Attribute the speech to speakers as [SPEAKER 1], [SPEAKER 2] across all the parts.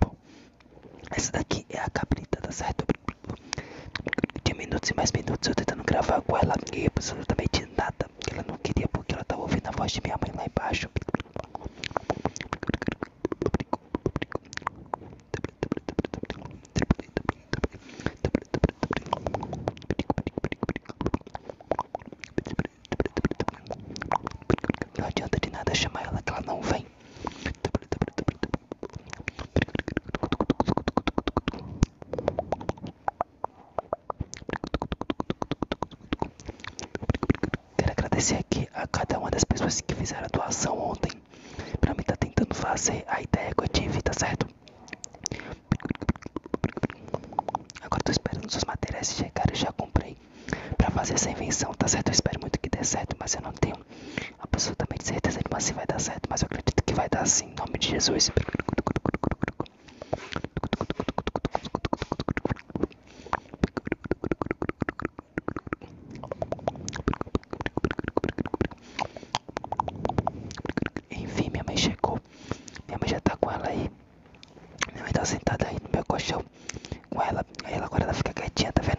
[SPEAKER 1] Bom, essa daqui é a cabrita, tá certo? De minutos e mais minutos eu tentando gravar com ela e absolutamente nada. Ela não queria porque ela tava ouvindo a voz de minha mãe lá embaixo. Não adianta de nada chamar ela que ela não vem. Quero agradecer aqui a cada uma das pessoas que fizeram a doação ontem. Pra mim tá tentando fazer a ideia que eu tive, tá certo? Agora tô esperando os materiais chegar e já comprei para fazer essa invenção, tá certo? Eu espero muito que dê certo, mas eu não tenho absolutamente certeza de se vai dar certo, mas eu acredito que vai dar sim, em nome de Jesus. Enfim, minha mãe chegou. Minha mãe já tá com ela aí. Minha mãe tá sentada aí no meu colchão com ela. Aí ela agora ela fica quietinha, tá vendo?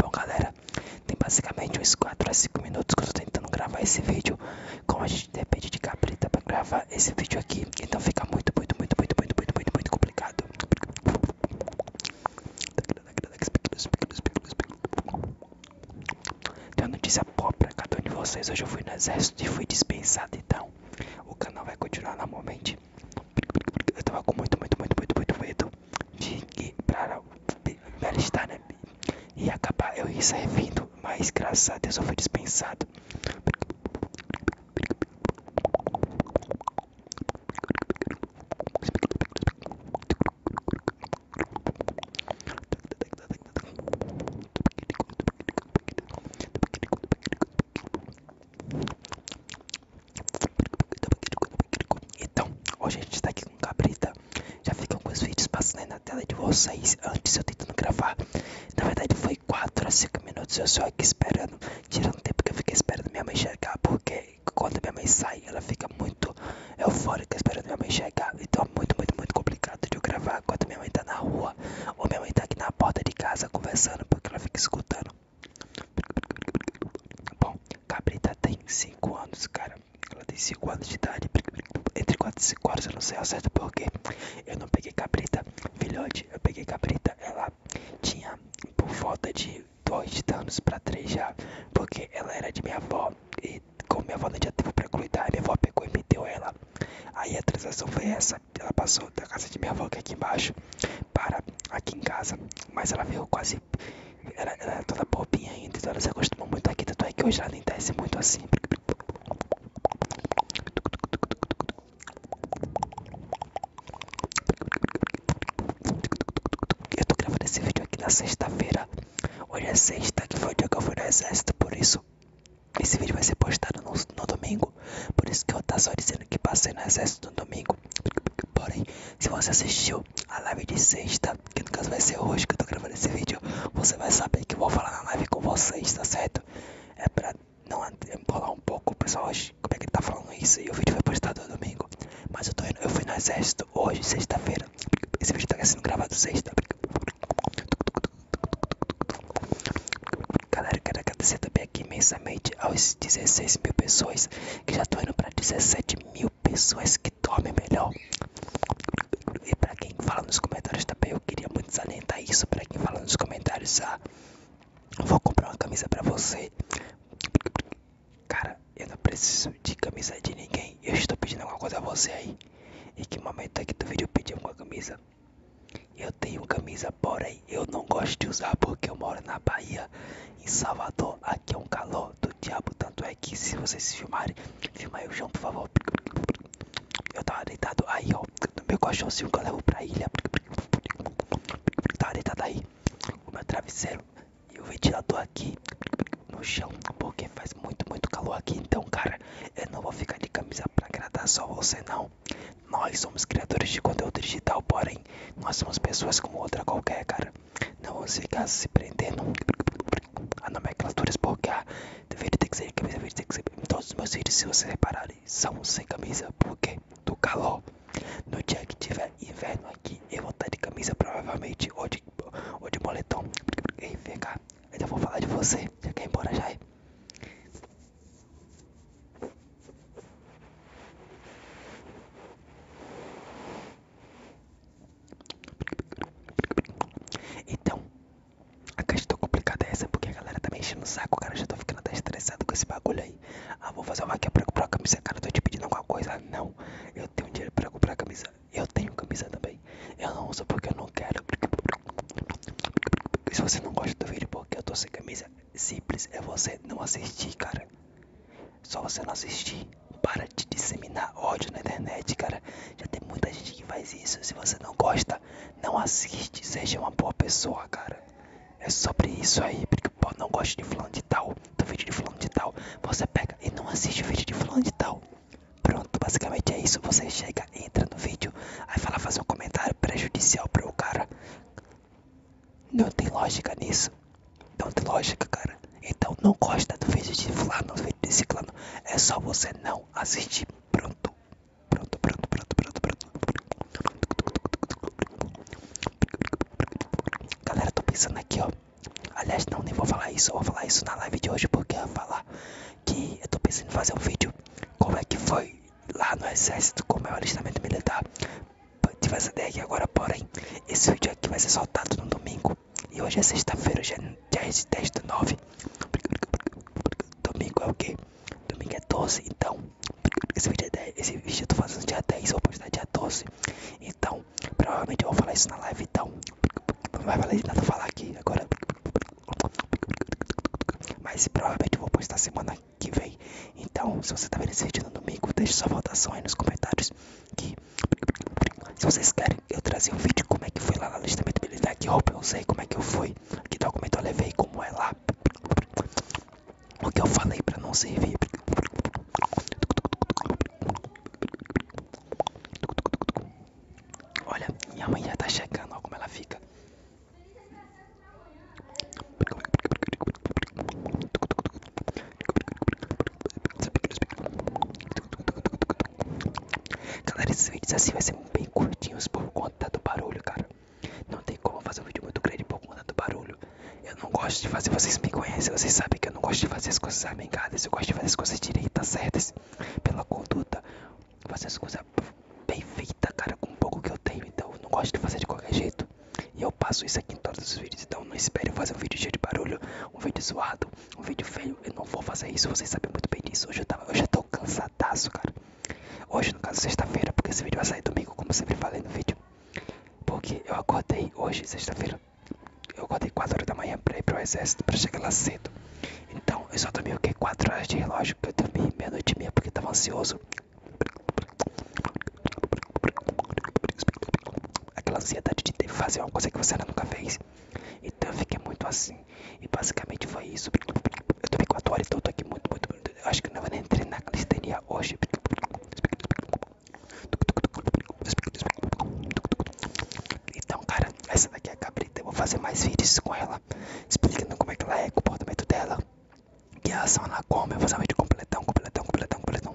[SPEAKER 1] Bom galera, tem basicamente uns 4 a 5 minutos que eu tô tentando gravar esse vídeo Como a gente depende de cabrita pra gravar esse vídeo aqui Então fica muito, muito, muito, muito, muito, muito, muito, muito complicado tem uma notícia boa pra cada um de vocês. Hoje eu fui no exército e fui dispensado, então o canal vai continuar normalmente. Eu tava com muito, muito, muito, muito, muito medo de ir pra Belistar, né? E acabar eu ia servindo, mas graças a Deus eu fui dispensado. Então, hoje a gente tá aqui com Cabrita. Já ficam alguns vídeos passando aí na tela de vocês antes eu tentando gravar. Na verdade, foi 4 a 5 minutos eu só aqui esperando tirar tempo que eu fiquei esperando minha mãe chegar, porque quando minha mãe sai, ela fica muito eufórica esperando minha mãe chegar. Então é muito, muito, muito complicado de gravar quando minha mãe tá na rua ou minha mãe tá aqui na porta de casa conversando, porque ela fica escutando. Bom, Cabrita tem 5 anos, cara. Ela tem 5 anos de idade. Entre 4 e 5 horas, eu não sei ao certo porquê. Eu não peguei Cabrita, filhote. Eu peguei Cabrita, ela tinha por volta de dois anos para três já, porque ela era de minha avó e com minha avó não tinha tempo para cuidar, minha avó pegou e meteu ela. Aí a transação foi essa, ela passou da casa de minha avó que é aqui embaixo para aqui em casa, mas ela veio quase era é toda bobinha ainda, então ela se acostumou muito aqui, tanto é que hoje ela nem desce muito assim. Eu tô gravando esse vídeo aqui na sexta-feira. Hoje é sexta, que foi o dia que eu fui no exército, por isso esse vídeo vai ser postado no, domingo. Por isso que eu tá só dizendo que passei no exército no domingo. Porém, se você assistiu a live de sexta, que no caso vai ser hoje que eu tô gravando esse vídeo, você vai saber que eu vou falar na live com vocês, tá certo? É pra não embolar um pouco, pessoal, hoje, como é que ele tá falando isso? E o vídeo foi postado domingo. Mas eu tô indo, eu fui no exército hoje, sexta-feira. Esse vídeo tá sendo gravado sexta. Galera, quero agradecer também aqui imensamente aos 16 mil pessoas que já tô indo pra 17 mil pessoas que dormem melhor. E pra quem fala nos comentários também, eu queria muito salientar isso. Pra quem fala nos comentários, a Vou comprar uma camisa pra você. Cara, eu não preciso de camisa de ninguém. Eu estou pedindo alguma coisa a você aí. Em que momento aqui é do vídeo eu pedi alguma camisa? Eu tenho camisa, porém eu não gosto de usar porque eu moro na Bahia, em Salvador. Aqui é um calor do diabo. Tanto é que se vocês se filmarem, filma aí o chão, por favor. Eu tava deitado aí, ó meu, do meu colchãozinho que eu levo pra ilha. Tava tá deitado daí o meu travesseiro e o ventilador aqui no chão, porque faz muito, muito calor aqui. Então, cara, eu não vou ficar de camisa pra agradar só você, não. Nós somos criadores de conteúdo digital, porém, nós somos pessoas como outra qualquer, cara. Não vamos ficar se prendendo a nomenclaturas, porque a deveria ter que ser camisa, deveria ter que ser todos os meus vídeos, se você reparar, são sem camisa porque do calor. No dia que tiver inverno aqui, eu vou estar de camisa provavelmente ou de, ou de moletom. E vem cá, ainda vou falar de você. Já quer ir embora já? É? Então, a questão tá complicada é essa, porque a galera tá me enchendo o saco, cara. Eu já tô ficando até estressado com esse bagulho aí. Ah, vou fazer uma vaquinha pra comprar uma camisa, cara. Eu tô te pedindo alguma coisa. Não, eu tenho dinheiro pra comprar camisa. Eu tenho camisa também. Eu não uso porque eu não quero. Se você não gosta do vídeo porque eu tô sem camisa, simples é você não assistir, cara. Só você não assistir. Para de disseminar ódio na internet, cara. Já tem muita gente que faz isso. Se você não gosta, não assiste, seja uma boa pessoa, cara. É sobre isso aí, porque pô, não gosto de fulano de tal, do vídeo de fulano de tal. Você pega e não assiste o vídeo de fulano de tal. Pronto, basicamente é isso. Você chega, entra no vídeo, aí fala fazer um comentário prejudicial para o cara. Não tem lógica nisso. Não tem lógica, cara. Então não gosta do vídeo de fulano, no vídeo de ciclano. É só você não assistir. Pronto. Pronto, pronto, pronto, pronto, pronto. Galera, tô pensando aqui, ó. Aliás, não, nem vou falar isso. Eu vou falar isso na live de hoje, porque eu vou falar que eu tô pensando em fazer um vídeo. Como é que foi lá no exército, como é o alistamento militar. Tive essa ideia aqui agora, porém, esse vídeo aqui vai ser soltado no domingo. E hoje é sexta-feira, já 10 e 10 do 9. Domingo é o quê? Domingo é 12, então. Esse vídeo, é 10, esse vídeo eu tô fazendo dia 10, vou postar dia 12. Então, provavelmente eu vou falar isso na live, então. Não vai valer de nada falar aqui agora. Mas provavelmente eu vou postar semana que vem. Então, se você tá vendo esse vídeo no domingo, deixe sua votação aí nos comentários. Que se vocês querem eu trazia um vídeo como é que foi lá no alistamento militar, que roupa eu usei, como é que eu fui, que documento eu levei, como é lá, o que eu falei pra não servir. Olha, minha mãe já tá chegando, olha como ela fica. Galera, esses vídeos assim vai ser bem curtinhos por conta do barulho, cara. Não tem como fazer um vídeo muito grande por conta do barulho. Eu não gosto de fazer, vocês me conhecem, vocês sabem que eu não gosto de fazer as coisas amengadas, eu gosto de fazer as coisas direitas, certas, pela conduta, fazer as coisas bem feitas, cara, com o pouco que eu tenho, então eu não gosto de fazer de qualquer jeito. E eu passo isso aqui em todos os vídeos, então não espere fazer um vídeo cheio de barulho, um vídeo zoado, um vídeo feio, eu não vou fazer isso, vocês sabem muito bem disso. Hoje eu, já hoje eu tô cansadaço, cara. Hoje, no caso, sexta-feira, porque esse vídeo vai sair domingo, como sempre falei no vídeo. Porque eu acordei hoje, sexta-feira, eu acordei 4 horas da manhã pra ir pro exército, pra chegar lá cedo. Então, eu só dormi o que? 4 horas de relógio, que eu dormi meia-noite e meia, porque eu tava ansioso. Aquela ansiedade de ter, que fazer uma coisa que você ainda nunca fez. Então eu fiquei muito assim. E basicamente foi isso. Eu tomei 4 horas, então eu tô aqui muito, muito, Eu acho que não vou nem treinar na calistenia hoje. Então, cara, essa daqui é a cabrita. Eu vou fazer mais vídeos com ela, explicando como é que ela é, o comportamento dela. E a ação na come, eu vou fazer um vídeo completão, completão, completão, completão.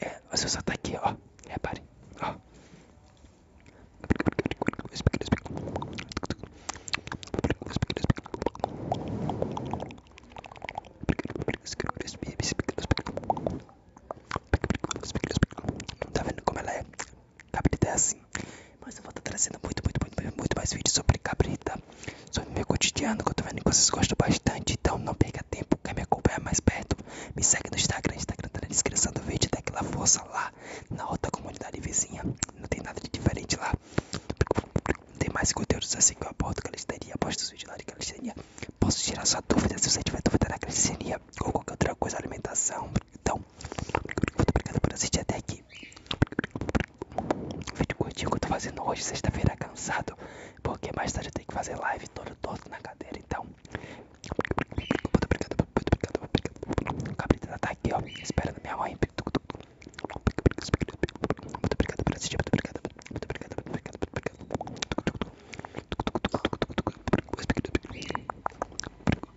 [SPEAKER 1] É, o seu só tá aqui, ó. Repare, ó. Tá vendo como ela é Cabrita é assim. Mas eu vou estar tá trazendo muito, muito, muito, muito mais vídeos sobre cabrita. Sobre meu cotidiano, que eu tô vendo que vocês gostam bastante. Então não perca tempo, quer me acompanhar mais perto? Me segue no Instagram, Instagram tá na descrição do vídeo. Dá aquela força lá, na outra comunidade vizinha. Não tem nada de diferente lá. Não tem mais conteúdos assim que eu abordo calistenia. Aposto os vídeos lá de calistenia. Posso tirar sua dúvida se você tiver dúvida na calistenia ou qualquer outra coisa, alimentação. Então então, muito obrigado por assistir até aqui. O vídeo curtinho que eu tô fazendo hoje, sexta-feira, cansado, porque mais tarde eu tenho que fazer live todo torto na cadeira. Então, muito obrigado, muito obrigado, muito obrigado. O Cabrita tá aqui, ó, esperando minha mãe. Muito obrigado por assistir, muito obrigado, muito obrigado, muito obrigado, muito obrigado.